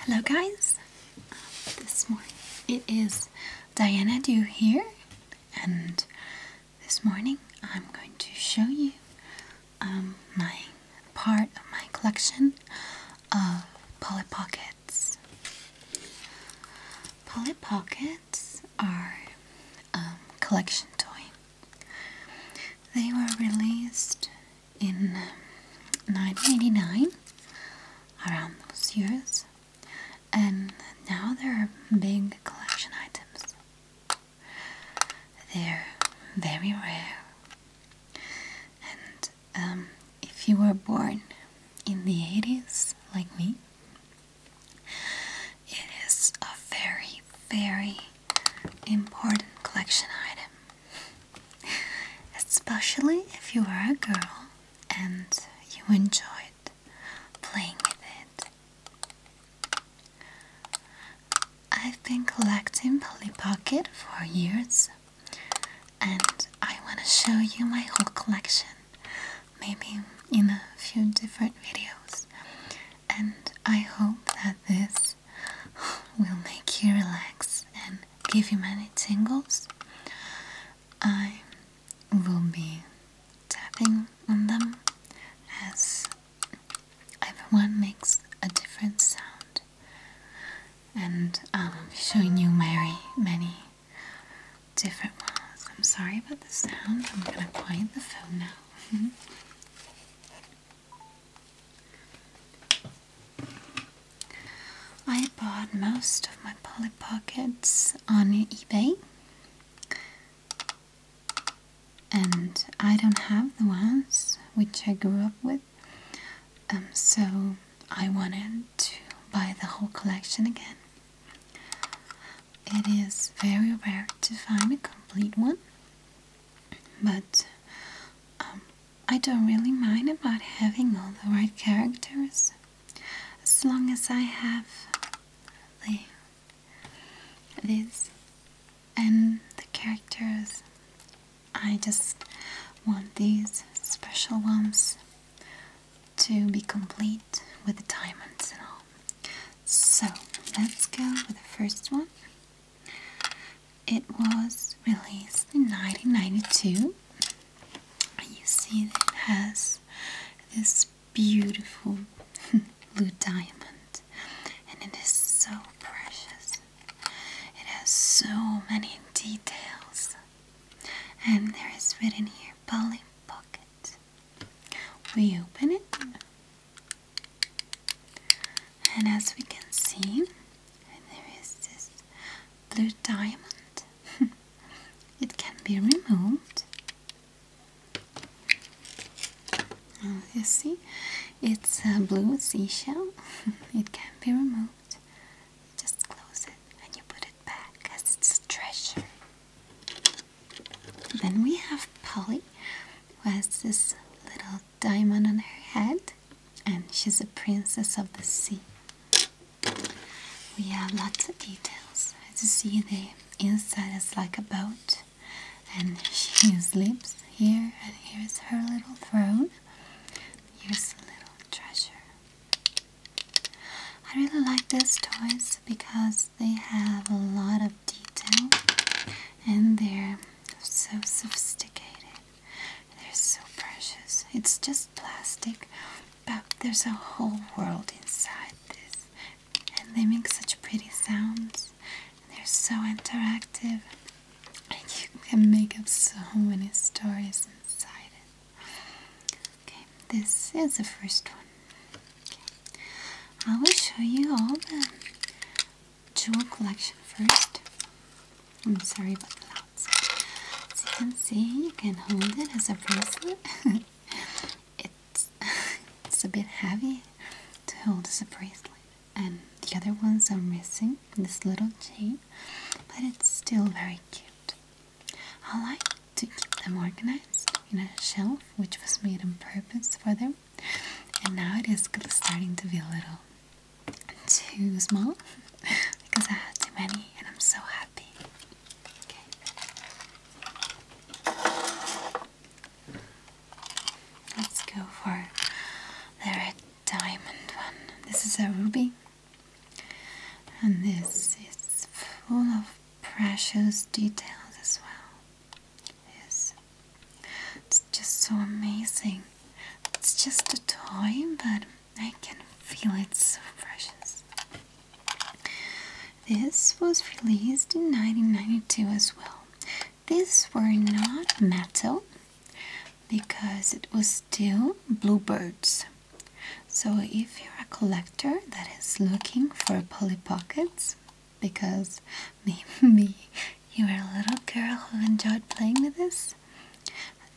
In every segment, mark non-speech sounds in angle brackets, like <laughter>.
Hello guys, this morning it is Diana Dew here and this morning I'm going to show you um, my part of my collection of Polly Pockets. Polly Pockets are a um, collection toy. They were released in 1989, um, around those years, and now they're big collection items. They're very rare, and um, if you were born in the 80s, like me, it is a very, very important collection item, especially if you are a girl and you enjoyed playing with it. I've been collecting Polly Pocket for years and I want to show you my whole collection, maybe in a few different videos. And I hope that this will make you relax and give you many tingles. I will be tapping on them as everyone makes a different sound, and I'm showing you very many different ones. I'm sorry about the sound, I'm gonna quiet the phone now. <laughs> I bought most of my Polly Pockets on eBay and I don't have the ones which I grew up with um, so I wanted to buy the whole collection again. It is very rare to find a complete one but um, I don't really mind about having all the right characters as long as I have the, this and the characters. I just want these special ones to be complete with the diamonds and all. So let's go with the first one. It was released in 1992. You see that it has this beautiful <laughs> blue diamond and it is so precious. It has so many details and there is written here Polly Pocket we open it and as we can see there is this blue diamond <laughs> it can be removed you see it's a blue seashell <laughs> it can be removed you just close it and you put it back as it's a treasure then we have Polly, who has this little diamond on her head, and she's a princess of the sea. We have lots of details. As you see, the inside is like a boat, and <laughs> she sleeps here, and here's her little throne. Here's a little treasure. I really like these toys because they have a lot of detail and they're so sophisticated. They're so precious. It's just plastic, but there's a whole world inside this. And they make such pretty sounds. And they're so interactive. And you can make up so many stories inside it. Okay, this is the first one. Okay. I will show you all the jewel collection first. I'm sorry about the lights. As you can see, you can hold it as a bracelet. <laughs> it's, <laughs> it's a bit heavy to hold as a bracelet. And the other ones are missing, this little chain, but it's still very cute. I like to keep them organized in a shelf which was made on purpose for them and now it is starting to be a little too small <laughs> because I had too many and I'm so happy okay let's go for the red diamond one this is a ruby and this is full of precious details as well. Yes. It's just so amazing. It's just a toy, but I can feel it's so precious. This was released in 1992 as well. These were not metal because it was still bluebirds. So if you're a collector, that is looking for Polly Pockets because <laughs> maybe you were a little girl who enjoyed playing with this,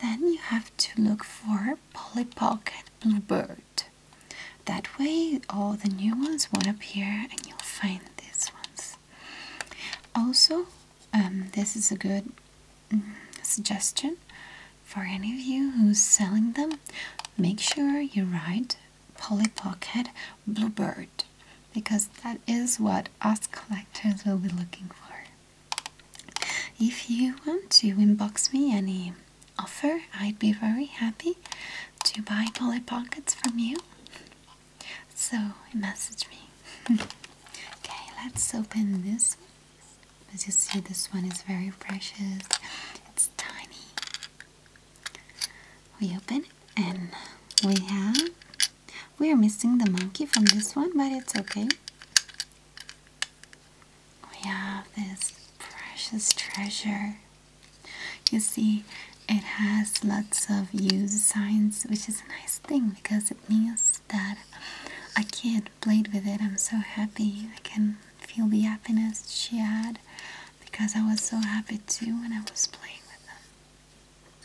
then you have to look for Polly Pocket Bluebird. That way, all the new ones won't appear and you'll find these ones. Also, um, this is a good mm, suggestion for any of you who's selling them, make sure you write Polly Pocket Bluebird because that is what us collectors will be looking for. If you want to inbox me any offer, I'd be very happy to buy Polly Pockets from you. So message me. <laughs> okay, let's open this as you see, this one is very precious. It's tiny. We open and we have. We are missing the monkey from this one, but it's okay. We have this precious treasure. You see, it has lots of use signs, which is a nice thing because it means that a kid played with it. I'm so happy I can feel the happiness she had because I was so happy too when I was playing with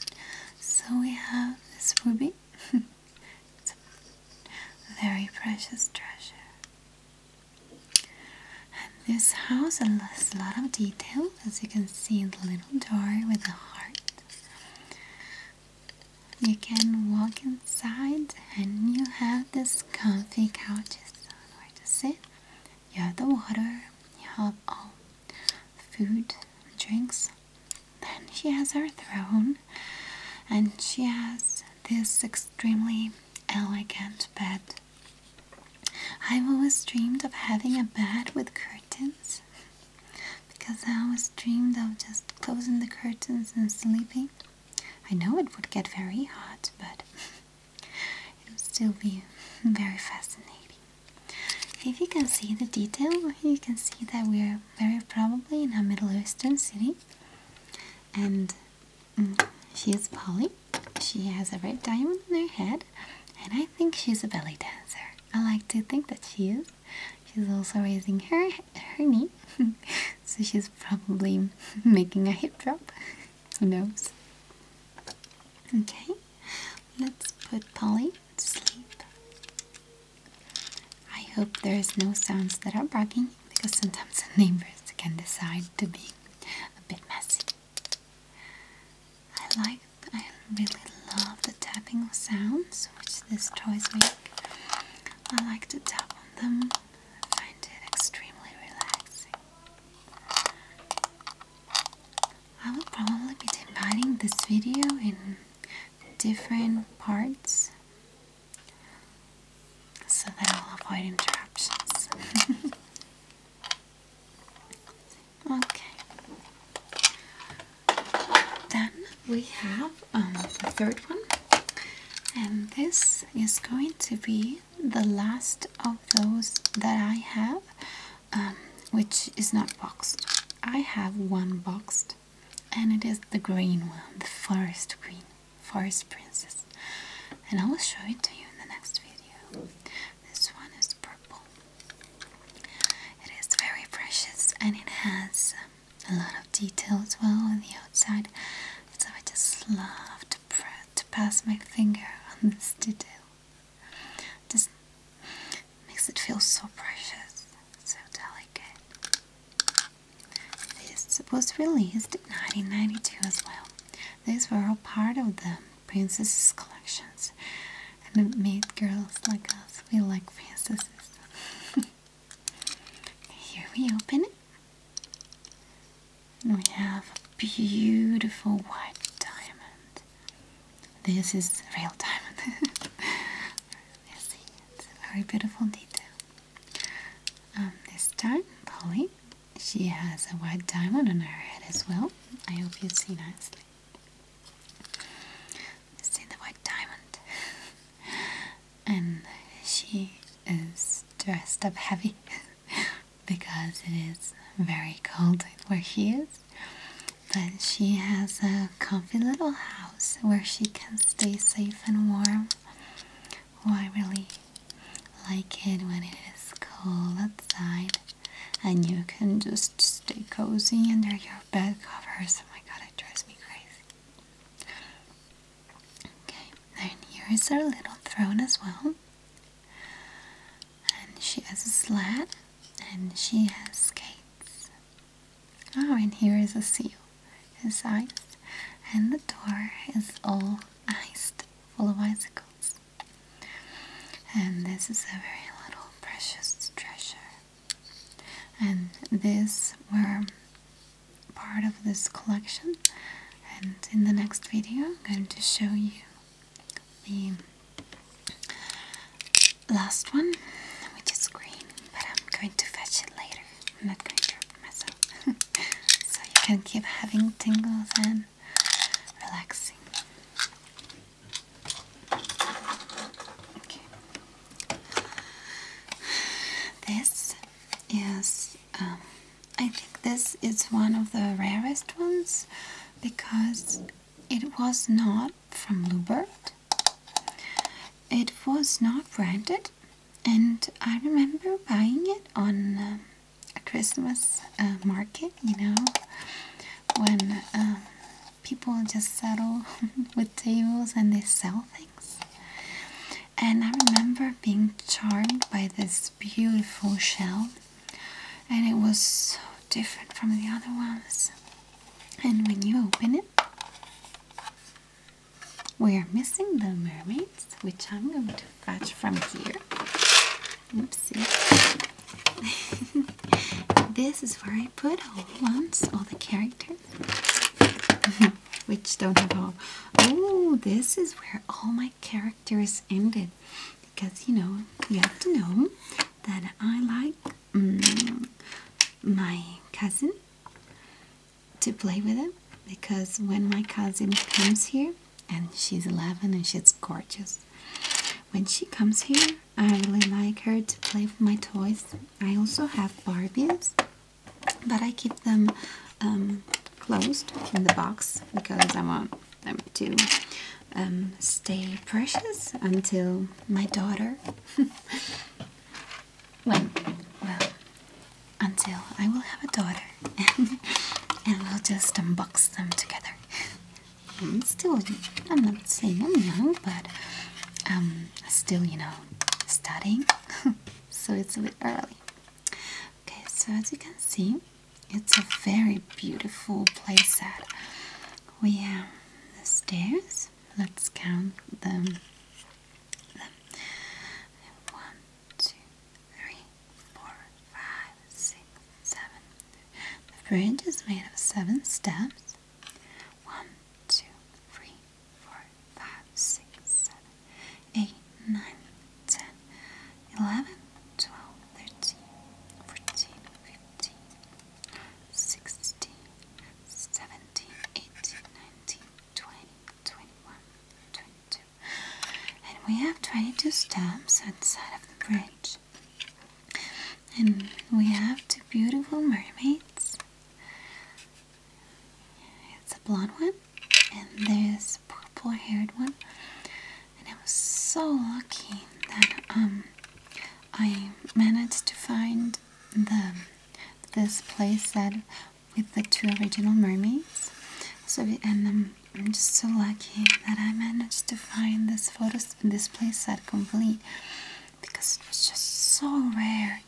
them. So we have this ruby. <laughs> it's a very precious treasure. And this house has a lot of detail as you can see in the little door with the heart. You can walk inside and you have this comfy couches where to sit. You have the water, you have all food, drinks. Then she has her throne and she has this extremely elegant bed. I've always dreamed of having a bed with curtains because I always dreamed of just closing the curtains and sleeping. I know it would get very hot, but it would still be very fascinating. If you can see the detail, you can see that we're very probably in a Middle Eastern city. And mm, she is Polly. She has a red diamond in her head. And I think she's a belly dancer. I like to think that she is. She's also raising her her knee, <laughs> so she's probably <laughs> making a hip drop. Who knows? Okay, let's put Polly to sleep. I hope there is no sounds that are barking because sometimes the neighbors can decide to be a bit messy. I like, I really love the tapping of sounds which this toys make. I like to tap them. find it extremely relaxing. I will probably be dividing this video in different parts so that I'll avoid interruptions. <laughs> okay. Then we have um, the third one, and this is going to be the last of those that I have, um, which is not boxed. I have one boxed, and it is the green one, the forest green, forest princess, and I will show it to you in the next video. This one is purple. It is very precious, and it has a lot of details, well on the outside so I just love to, to pass my finger <laughs> on this detail just makes it feel so precious so delicate this was released in 1992 as well these were all part of the princesses collections and it made girls like us feel like princesses <laughs> Here we open it. And we have a beautiful white diamond. This is real diamond. you <laughs> see, it's a very beautiful detail. Um, this time, Polly, she has a white diamond on her head as well. I hope you see nicely. See the white diamond. <laughs> and she is dressed up heavy <laughs> because it is very cold where she is. But she has a comfy little house where she can stay safe and warm. Oh, I really like it when it is cold outside and you can just stay cozy under your bed covers. Oh my god, that me crazy. Okay, then here is her little throne as well. And she has a sled and she has skates. Oh, and here is a seal. It's iced. And the door is all iced, full of icicles. And this is a very little precious treasure and these were part of this collection and in the next video I'm going to show you the last one which is green but I'm going to fetch it later I'm not going to open myself <laughs> so you can keep having tingles and relaxing this is, um, I think this is one of the rarest ones because it was not from Lubert, It was not branded and I remember buying it on um, a Christmas uh, market, you know, when um, people just settle <laughs> with tables and they sell things. And I remember being charmed by this beautiful shell, and it was so different from the other ones. And when you open it, we are missing the mermaids, which I'm going to fetch from here. Let's see. <laughs> this is where I put all the ones, all the characters. <laughs> Which don't have all. Oh, this is where all my characters ended. Because, you know, you have to know that I like mm, my cousin to play with him. Because when my cousin comes here, and she's 11 and she's gorgeous. When she comes here, I really like her to play with my toys. I also have Barbies, but I keep them um, closed in the box because I want them to um, stay precious until my daughter. <laughs> when, well, until I will have a daughter <laughs> and we'll just unbox them together. I'm still, I'm not saying I'm young, but um, I'm still, you know, studying, <laughs> so it's a bit early. Okay, so as you can see, it's a very beautiful playset. We have the stairs. Let's count them. them. One, two, three, four, five, six, seven, the bridge is made of seven steps. One, two, three, four, five, six, seven, eight, nine, ten, eleven, twelve, thirteen, fourteen, fifteen, sixteen, seventeen, eighteen, nineteen, twenty, twenty-one, twenty-two. And we have twenty-two steps outside of the bridge. And we have two beautiful mermaids. It's a blonde one, and there's a purple haired one. And I was so lucky that um, I managed to find the this place that with the two original mermaids. So, and um, I'm just so lucky that I managed to find this photo this place set complete because it was just so rare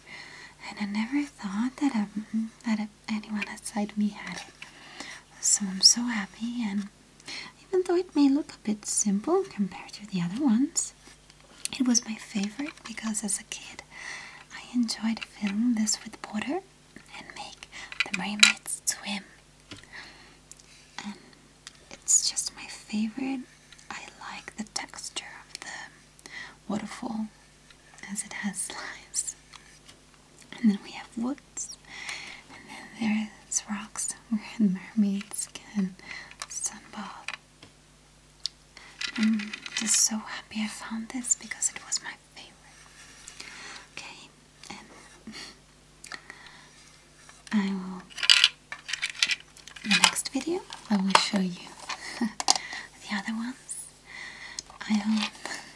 and I never thought that I, um, that anyone outside me had it. So I'm so happy and even though it may look a bit simple compared to the other ones, it was my favorite because as a kid I enjoyed filling this with water and make the mermaids swim it's just my favorite. I like the texture of the waterfall as it has <laughs> slides. And then we have woods, and then there's rocks where <laughs> mermaids can sunbath. I'm just so happy I found this because it was my favorite. Okay, I will in the next video I will show you <laughs> the other ones. I hope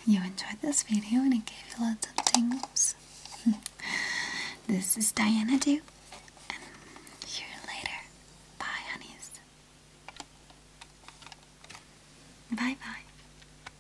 you enjoyed this video and it gave you lots of tingles. <laughs> this is Diana Dew see you later. Bye honeys. Bye bye.